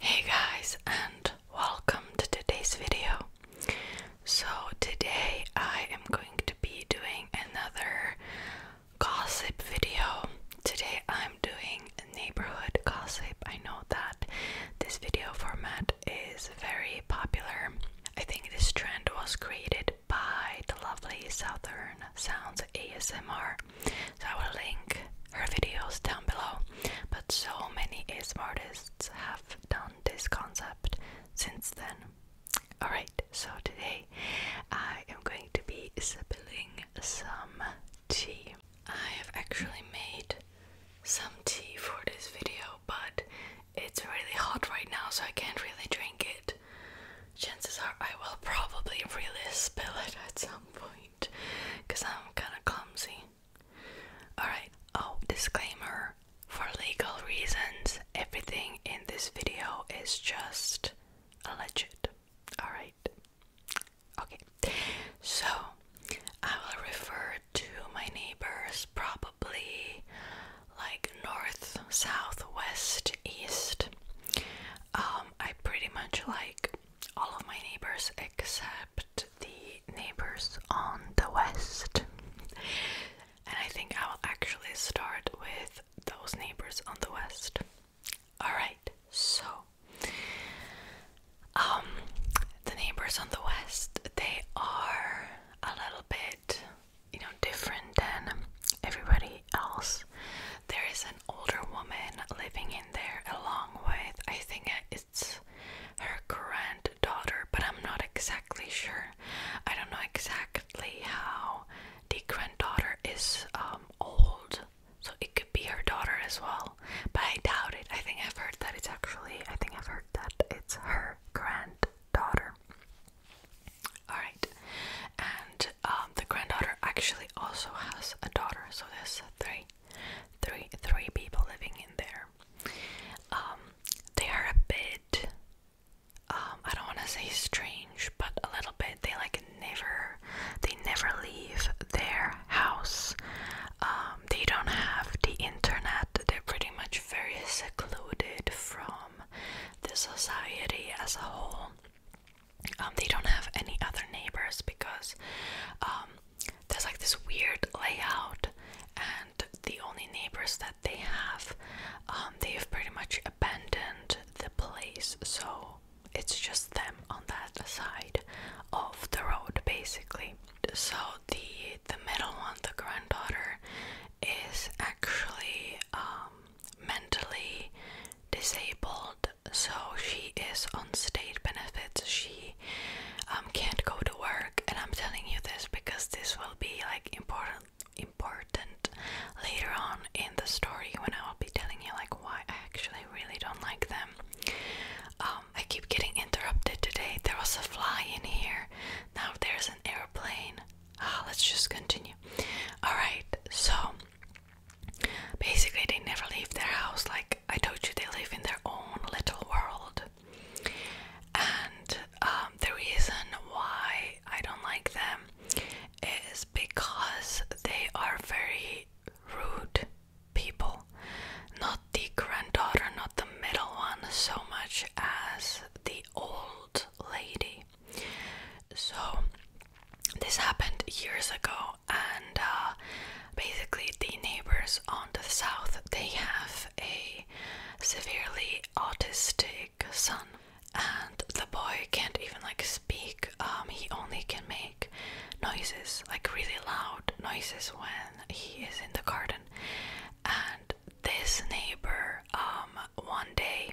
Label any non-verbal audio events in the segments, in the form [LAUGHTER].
Hey guys and welcome to today's video. So today I am going to be doing another gossip video. Today I'm doing neighborhood gossip. I know that this video format is very popular. I think this trend was created by the lovely Southern Sounds ASMR. I will link her videos down below. But so many ASM artists have done this concept since then. Alright, so today I am going to be sipping some tea. I have actually made some tea for this video, but it's really hot right now, so I can't really drink it. Chances are I will probably really spill it at some point because I'm kind of clumsy. Alright, oh, disclaimer for legal reasons, everything in this video is just alleged. Alright, okay, so I will refer to my neighbors probably like north, south, west, east. Um, I pretty much like all of my neighbors except the neighbors on the west. And I think I will actually start with those neighbors on the west. Alright, so um the neighbors on the west they are a little bit you know different than everybody else there is an older woman living in there along with, I think it's her granddaughter, but I'm not exactly sure. I don't know exactly how the granddaughter is um, old, so it could be her daughter as well, but I doubt it. I think I've heard that it's actually, I think I've heard that it's her granddaughter. Alright, and um, the granddaughter actually also has a daughter, so there's three, three, three people living in there. Um, they are a bit, um, I don't want to say strange, but a little bit. They like never, they never leave their house. they don't have the internet. They're pretty much very secluded from the society as a whole. Um, they don't have any other neighbors because um, there's like this weird layout, and the only neighbors that they have, um, they have pretty much abandoned the place. So it's just them on that side of the road, basically. So the the middle one, the granddaughter, is actually mentally disabled, so she is on state benefits. She um, can't go to work, and I'm telling you this because this will be like important important later on in the story when I will be telling you like why I actually really don't like them. Um, I keep getting interrupted today. There was a fly in here. Now there's an airplane. Ah, let's just continue. All right. So Basically, they never leave their house. Like I told you, they live in their own little world. And um, the reason why I don't like them is because they are very rude people. Not the granddaughter, not the middle one, so much as the old lady. So this happened years ago, and uh, basically the neighbors on the south they have a severely autistic son, and the boy can't even like speak. Um, he only can make noises, like really loud noises, when he is in the garden. And this neighbor, um, one day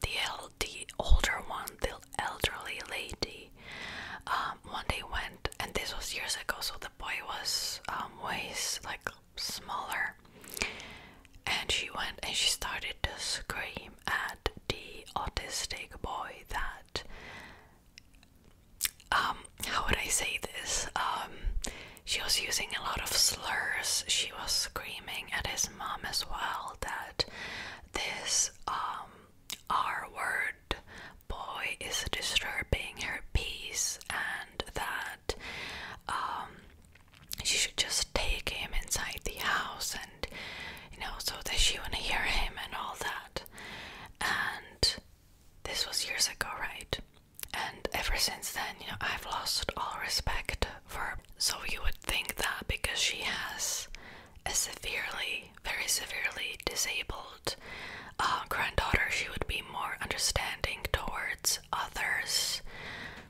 the, el the older one, the elderly lady, um, one day went, and this was years ago, so the boy was um, ways like smaller, and she went and she started to scream at the autistic boy that, um, how would I say this? Um, she was using a lot of slurs. She was screaming at his mom as well that this um, R word boy is disturbing her peace and that um, she should just take him inside the house and you know so that she wouldn't hear him and all that. And this was years ago, right? And ever since then, you know, I've lost all respect verb. So you would think that because she has a severely, very severely disabled uh, granddaughter, she would be more understanding towards others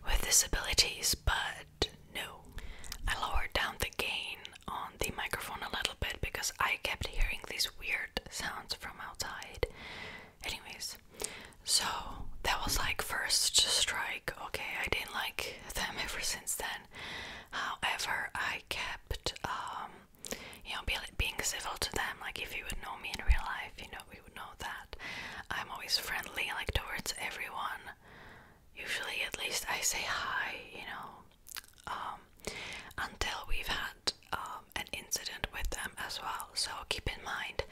with disabilities, but no. I lowered down the gain on the microphone a little bit because I kept hearing these weird sounds from outside. Anyways, so that was like first strike. Okay, I didn't like them ever since then. However, I kept, um, you know, be, being civil to them. Like, if you would know me in real life, you know, we would know that. I'm always friendly, like, towards everyone. Usually, at least, I say hi, you know, um, until we've had um, an incident with them as well. So, keep in mind,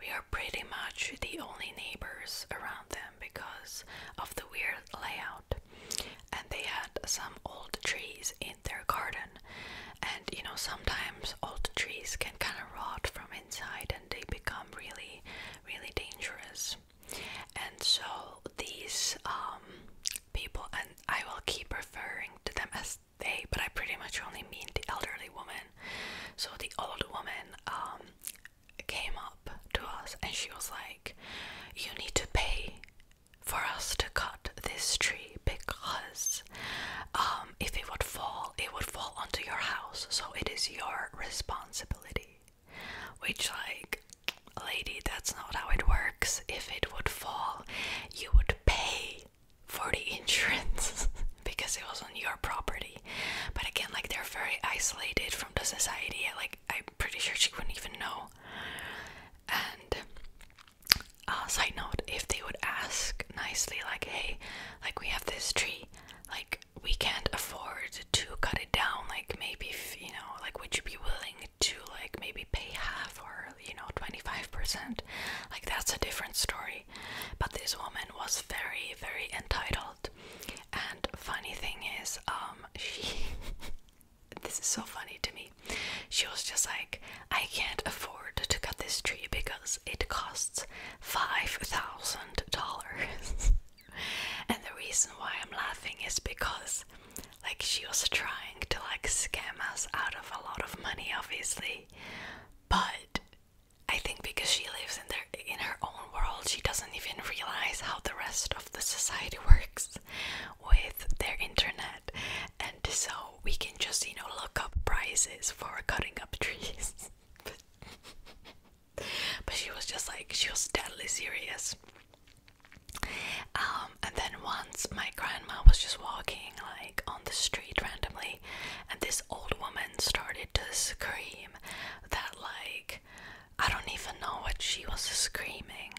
we are pretty much the only neighbors around them because of the weird layout. And they had some old trees in their garden. And you know, sometimes old trees can kind of rot from inside and they become really, really dangerous. And so these um, people, and I will keep referring to them as they, but I pretty much only mean the elderly woman. So the old woman um, came up to us and she was like, You need to pay for us to cut this tree because um, if it would fall, it would fall onto your house, so it is your responsibility. Which, like, lady, that's not how it works. If it would fall, you would pay for the [LAUGHS] insurance because it was on your property. But again, like they're very isolated from the society. Like I'm pretty sure she wouldn't even know. And uh, side note, if they would ask nicely, like, hey, like we have this tree, like we can't afford to cut it down. Like maybe you know, like would you be willing to like maybe pay half or you know 25%? Like that's a different story. But this woman was very, very entitled. And funny thing is, um, she [LAUGHS] this is so funny to me. She was just like, I can't afford to cut this tree because it costs five thousand dollars. [LAUGHS] and the reason why I'm laughing is because like she was trying to like scam us out of a lot of money obviously but I think because she lives in their in her own world, she doesn't even realize how the rest of the society [LAUGHS] works with their internet, and so we can just you know look up prices for cutting up [LAUGHS] trees. but, she was just like she was deadly serious. Um, and then once my grandma was just walking like on the street randomly and this old woman started to scream that like I don't even know what she was screaming.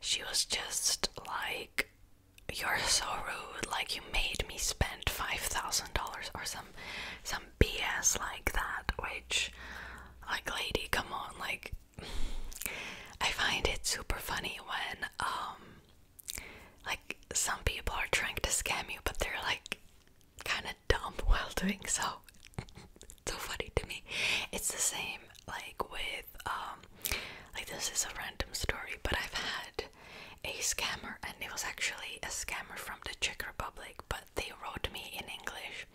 She was just like you're so rude like you made me spend $5,000 or some some BS like that which like lady come on like [SIGHS] I find it super funny when um like some people are trying to scam you but they're like kind of dumb while doing so it's [LAUGHS] so funny to me it's the same like with um like this is a random story but i've had a scammer and it was actually a scammer from the czech republic but they wrote me in english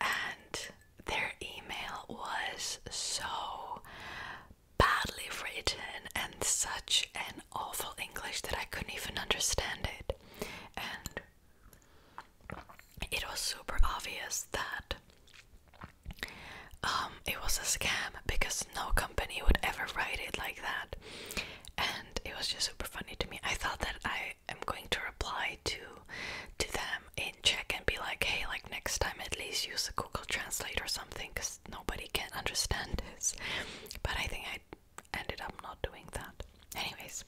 and their email was so badly written and such an awful English that I couldn't even understand it. And it was super obvious that um, it was a scam because no company would ever write it like that. And it was just super funny to me. I thought that I am going to reply to to them in Czech and be like, hey, like next time at least use a Google Translate or something because nobody can understand this. But I think I ended up not doing that. Anyways,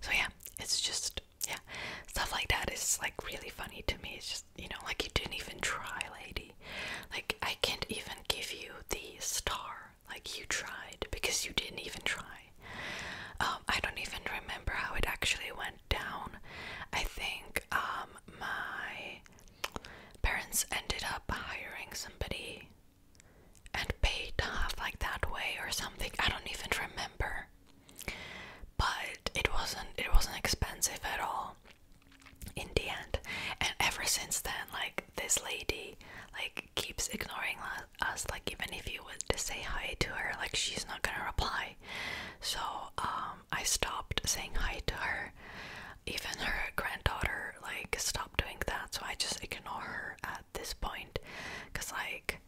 so yeah, it's just yeah, stuff like that is like really funny to me. It's just you know like you didn't even try, lady. Like I can't even give you the star. Like you tried because you didn't even try. Um, I don't even remember how it actually went down. I think um my parents ended up hiring somebody and paid off like that way or something. I don't even remember. But it wasn't it wasn't expensive at all in the end. And ever since then, like this lady like keeps ignoring us. Like even if you would say hi to her, like she's not gonna reply. So um, I stopped saying hi to her even her granddaughter like stopped doing that so i just ignore her at this point because like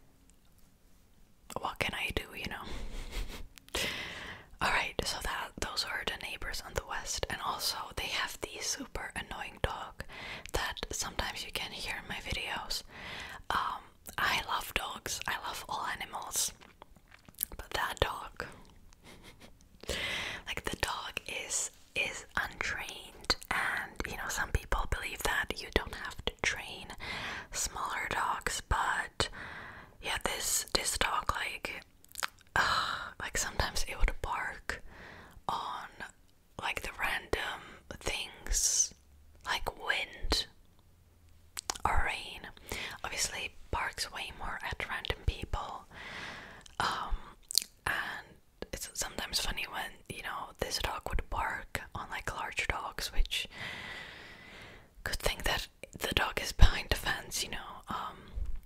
what can i do you know [LAUGHS] all right so that those are the neighbors on the west and also they have the super annoying dog that sometimes you can hear in my videos um, i love dogs i love all animals but that dog [LAUGHS] like the dog is is untrained and you know some people believe that you don't have to train smaller dogs but yeah this this dog like uh, [SIGHS] like sometimes it would bark on like the random things like wind or rain. Obviously, barks way more at random people, um, and it's sometimes funny when you know this dog would bark on like large dogs, which could think that the dog is behind the fence, you know. Um,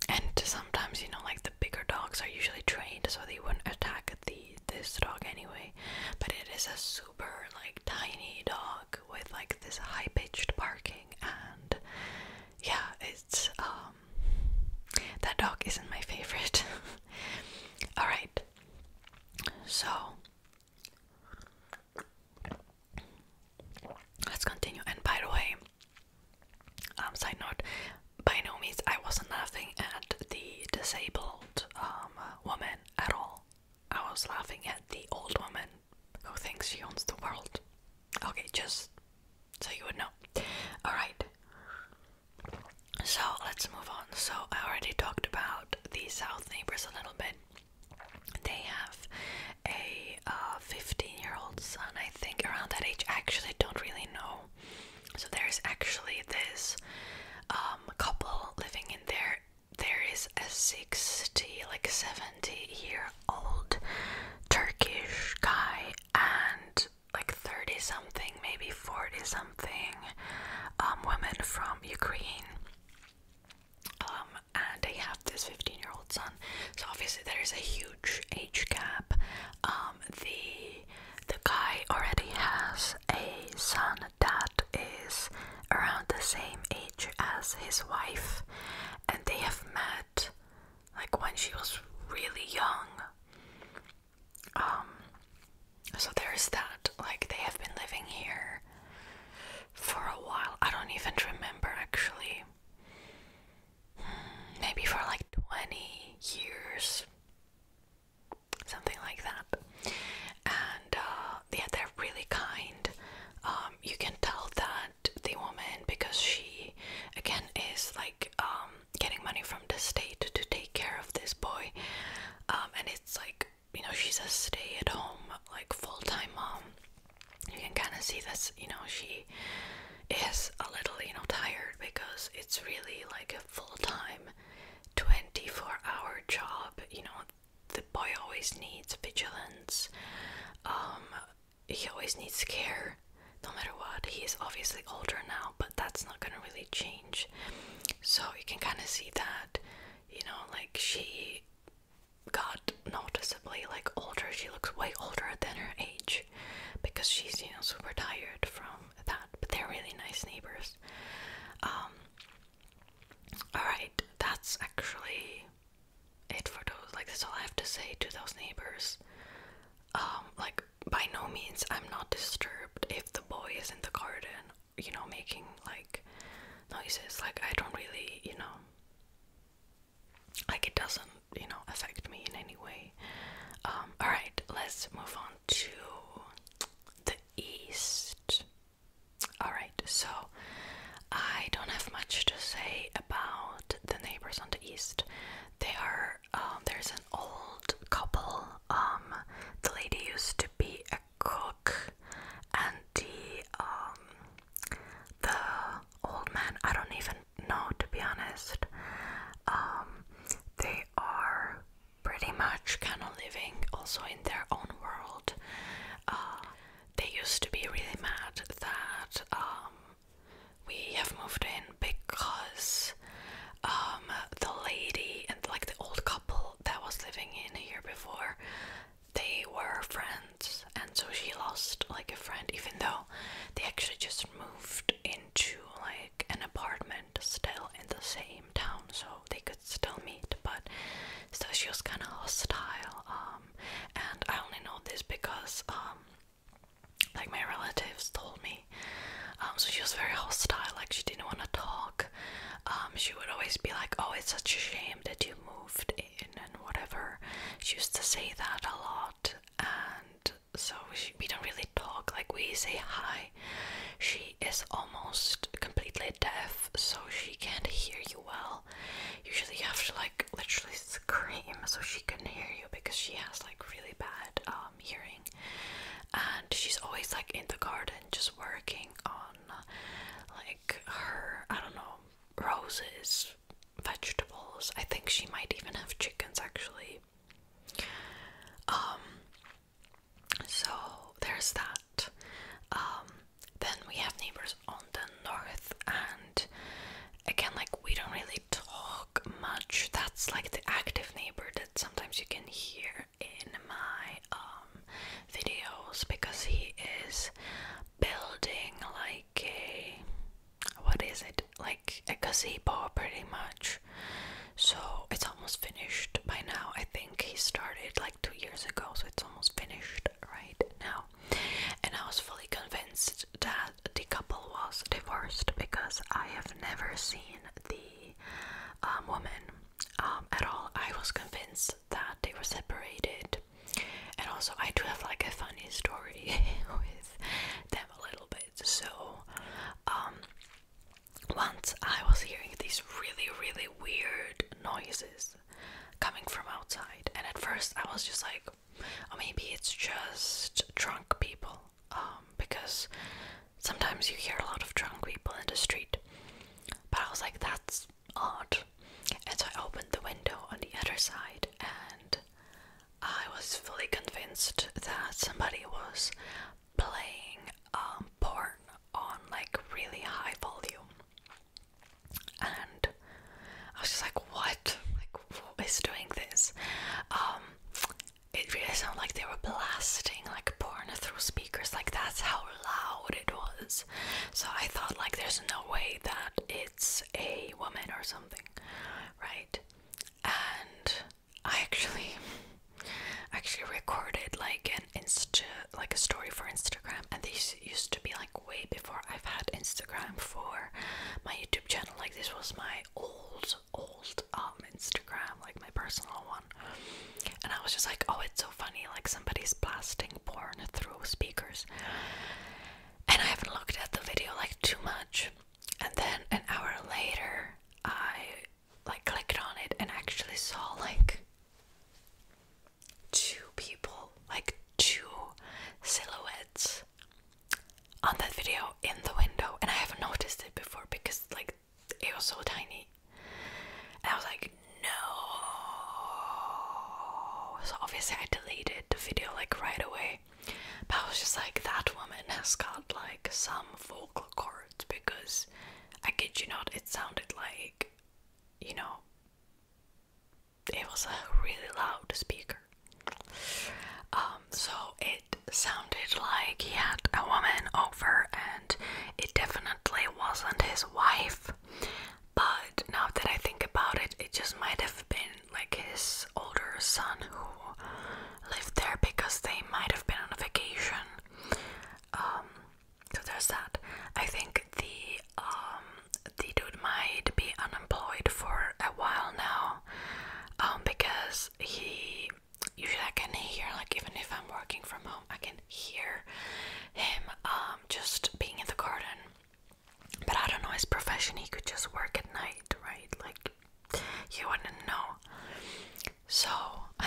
and sometimes you know, like the bigger dogs are usually trained, so they wouldn't attack the this dog anyway. But it is a super like tiny dog with like this high pitched barking and yeah it's um that dog isn't my favorite. [LAUGHS] All right. So let's continue and by the way um side note by no means I was not laughing at the disabled um woman at all I was laughing at the old woman who thinks she owns the world. Okay, just so you would know. Alright. So let's move on. So I already talked about the South neighbors a little bit. They have a 15-year-old uh, son, I think, around that age. I actually don't really know. So there's actually this um, couple living in there there is a 60, like 70 year old Turkish guy and like 30 something, maybe 40 something um, woman from Ukraine. Um, and they have this 15 year old son. So obviously there is a huge age gap. Um, the the guy already has a son that is around the same age as his wife, and they have met like when she was really young. Um, so there's that. Like, they have been living here for a while. I don't even remember actually. Hmm, maybe for like 20 years, something like that. And uh, yeah, they really kind. Um, you can tell that the woman, because she again is like um, getting money from the state to take care of this boy, um, and it's like you know she's a stay-at-home like full-time mom. You can kind of see this, you know, she is a little you know tired because it's really like a full-time, twenty-four-hour job. You know the boy always needs vigilance. Um, he always needs care, no matter what. He is obviously older now, but that's not gonna really change. So you can kind of see that, you know, like she got noticeably like older. She looks way older than her age because she's you know super tired from that. But they're really nice neighbors. Um, Alright, that's actually it for those. Like, that's all I have to say to those neighbors. Um, like, by no means I'm not disturbed if the boy is in the garden, you know, making like noises. Like, I don't really, you know, like, it doesn't, you know, affect me in any way. Um, alright, let's move on to the east. Alright, so I don't have much to say about the neighbors on the east. They are, um, there's an old couple. Um, the lady used to be a cook, and the, um, the old man, I don't even know to be honest. they are pretty much kind of living also in their own world they used to be really mad that um, we have moved in because um, the lady and like the old couple that was living in here before they were friends and so she lost like a friend even though they actually just moved into like an apartment still in the same came down so they could still meet but still she was kind of hostile um and i only know this because um like my relatives told me um so she was very hostile like she didn't want to talk um she would always be like oh it's such a shame that you moved in and whatever she used to say that a lot and so we, we don't really talk like we say hi she is almost completely deaf, so she can't hear you well. Usually, you have to like literally scream so she can hear you because she has like really bad um, hearing. And she's always like in the garden, just working on like her, I don't know, roses, vegetables. I think she might even have chickens actually. Um, so there's that. Um, then we have neighbors on the north, and again, like we don't really talk much. That's like the active neighbor that sometimes you can hear in my um, videos because he is building like a what is it like a gazebo pretty much so it's almost finished by now. I think he started like two years ago, so it's almost finished right now. And I was fully convinced that the couple was divorced because I have never seen the um, woman um, at all. I was convinced that they were separated. And also, I do have like a funny story [LAUGHS] with them a little bit. So, um, once I was hearing these really, really weird noises coming from outside, and at first I was just like, oh, maybe it's just drunk people, um, because sometimes you hear a lot of drunk people in the street. But I was like, that's odd. And so I opened the window on the other side, and I was fully convinced that somebody was playing um, porn on like really high volume, and I was just like, "What? Like, who is doing this?" Um, it really sounded like they were blasting like porn through speakers. Like that's how loud it was. So I thought, like, there's no way that it's a woman or something, right? And I actually actually recorded like an Insta like a story for Instagram and this used to be like way before I've had Instagram for my YouTube channel. Like this was my old old um Instagram, like my personal one. And I was just like, oh it's so funny, like somebody's blasting porn through speakers. And I haven't looked at the video like too much. And then an hour later I like clicked on it and actually saw like two people, like two silhouettes on that video in the window and I haven't noticed it before because like it was so tiny. And I was like, no. So obviously I deleted the video like right away. But I was just like, that woman has got like some vocal cords words because I kid you not, it sounded like, you know, it was a really loud speaker. Um, so it sounded like he had a woman over, and it definitely wasn't his wife. But now that I think about it, it just might have been like his older son who lived there because they might have been on a vacation um, so there's that. I think the um, the dude might be unemployed for a while now, um, because he usually I can hear like even if I'm working from home, I can hear him just being in the garden. But I don't know his profession. He could just work at night, right? Like you wouldn't know. So [LAUGHS]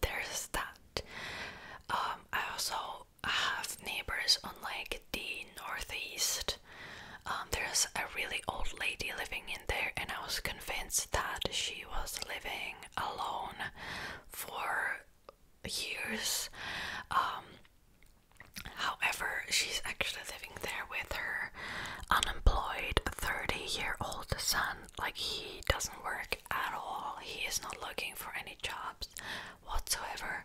there's that. Um, I also have neighbors unlike the northeast. Um, there's a really old lady living in there, and I was convinced that she was living alone for years. Um, however, she's actually living there with her unemployed 30 year old son, like he doesn't work at all. He is not looking for any jobs whatsoever.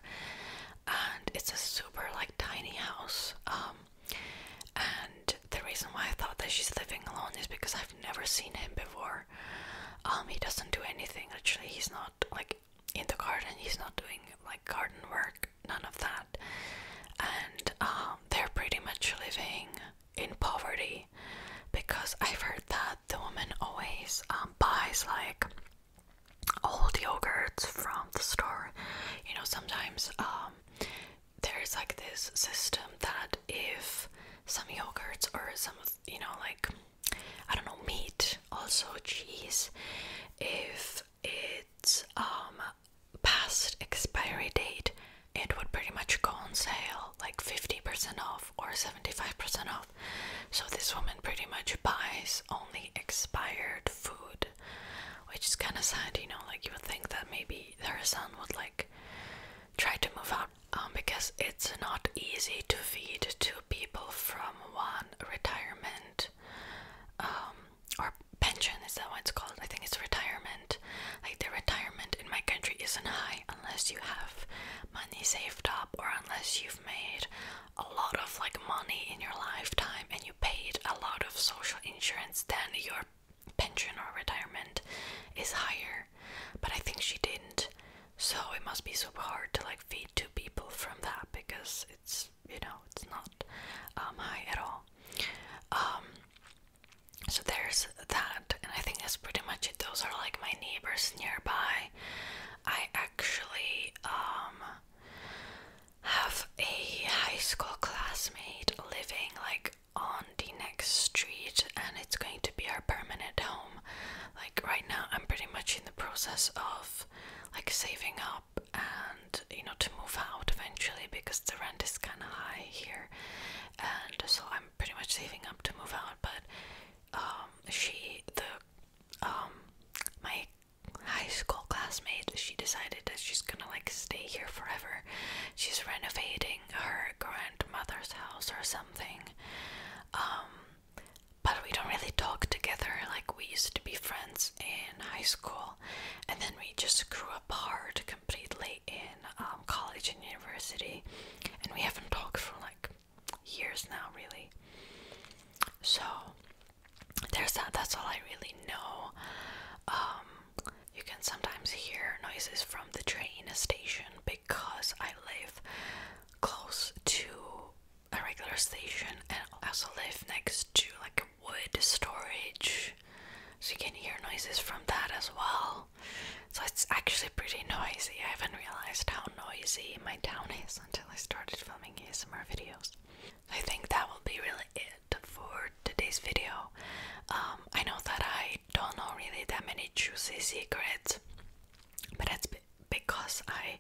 And it's a super like tiny house. Um, and the reason why I thought that she's living alone is because I've never seen him before. Um he doesn't do anything actually. He's not like in the garden. He's not doing like garden work. None of that. And um, they're pretty much living in poverty because I've heard that the woman always um, buys like old yogurts from the store. You know, sometimes um, there's like this system that if some yogurts or some, you know, like I don't know, meat, also cheese, if it's um, past expiry date, it would pretty much go on sale like 50% off or 75% off. So this woman pretty much buys only expired food, which is kind of sad, you know. Like, you would think that maybe their son would like try to move out um, because it's not easy to feed two people from one retirement um, pension is that what it's called? I think it's retirement. Like the retirement in my country isn't high unless you have money saved up or unless you've made a lot of like money in your lifetime and you paid a lot of social insurance, then your pension or retirement is higher. But I think she didn't. So it must be super hard to like feed two people from that because it's you know it's not um, high at all. Um, so there's that, and I think that's pretty much it. Those are like my neighbors nearby. I actually um, have a high school classmate living like on the next street and it's going to be our permanent home. Like right now I'm pretty much in the process of like saving up and you know to move out eventually because the rent is kind of high here and so i'm pretty much saving up to move out but um, she the um, my high school classmate she decided that she's gonna like stay here forever she's renovating her grandmother's house or something um, but we don't really talk together like we used to be friends in high school and then we just grew apart completely in um, college and university, and we haven't talked for like years now, really. So there's that. That's all I really know. Um, you can sometimes hear noises from the train station because I live close to a regular station and I also live next to like wood storage, so you can hear noises from that as well. So it's actually pretty noisy. I haven't realized how noisy my town is until I started filming ASMR videos. I think that will be really it for today's video. Um, I know that I don't know really that many juicy secrets, but that's because I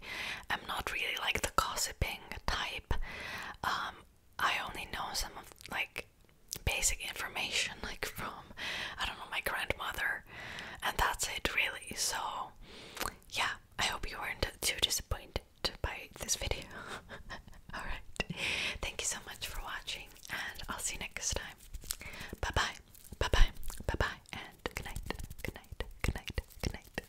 am not really like the gossiping type. Um, I only know some of like basic information like from I don't know my grandmother and that's it really so yeah I hope you weren't too disappointed by this video [LAUGHS] alright thank you so much for watching and I'll see you next time bye bye bye bye bye bye and good night good night good night good night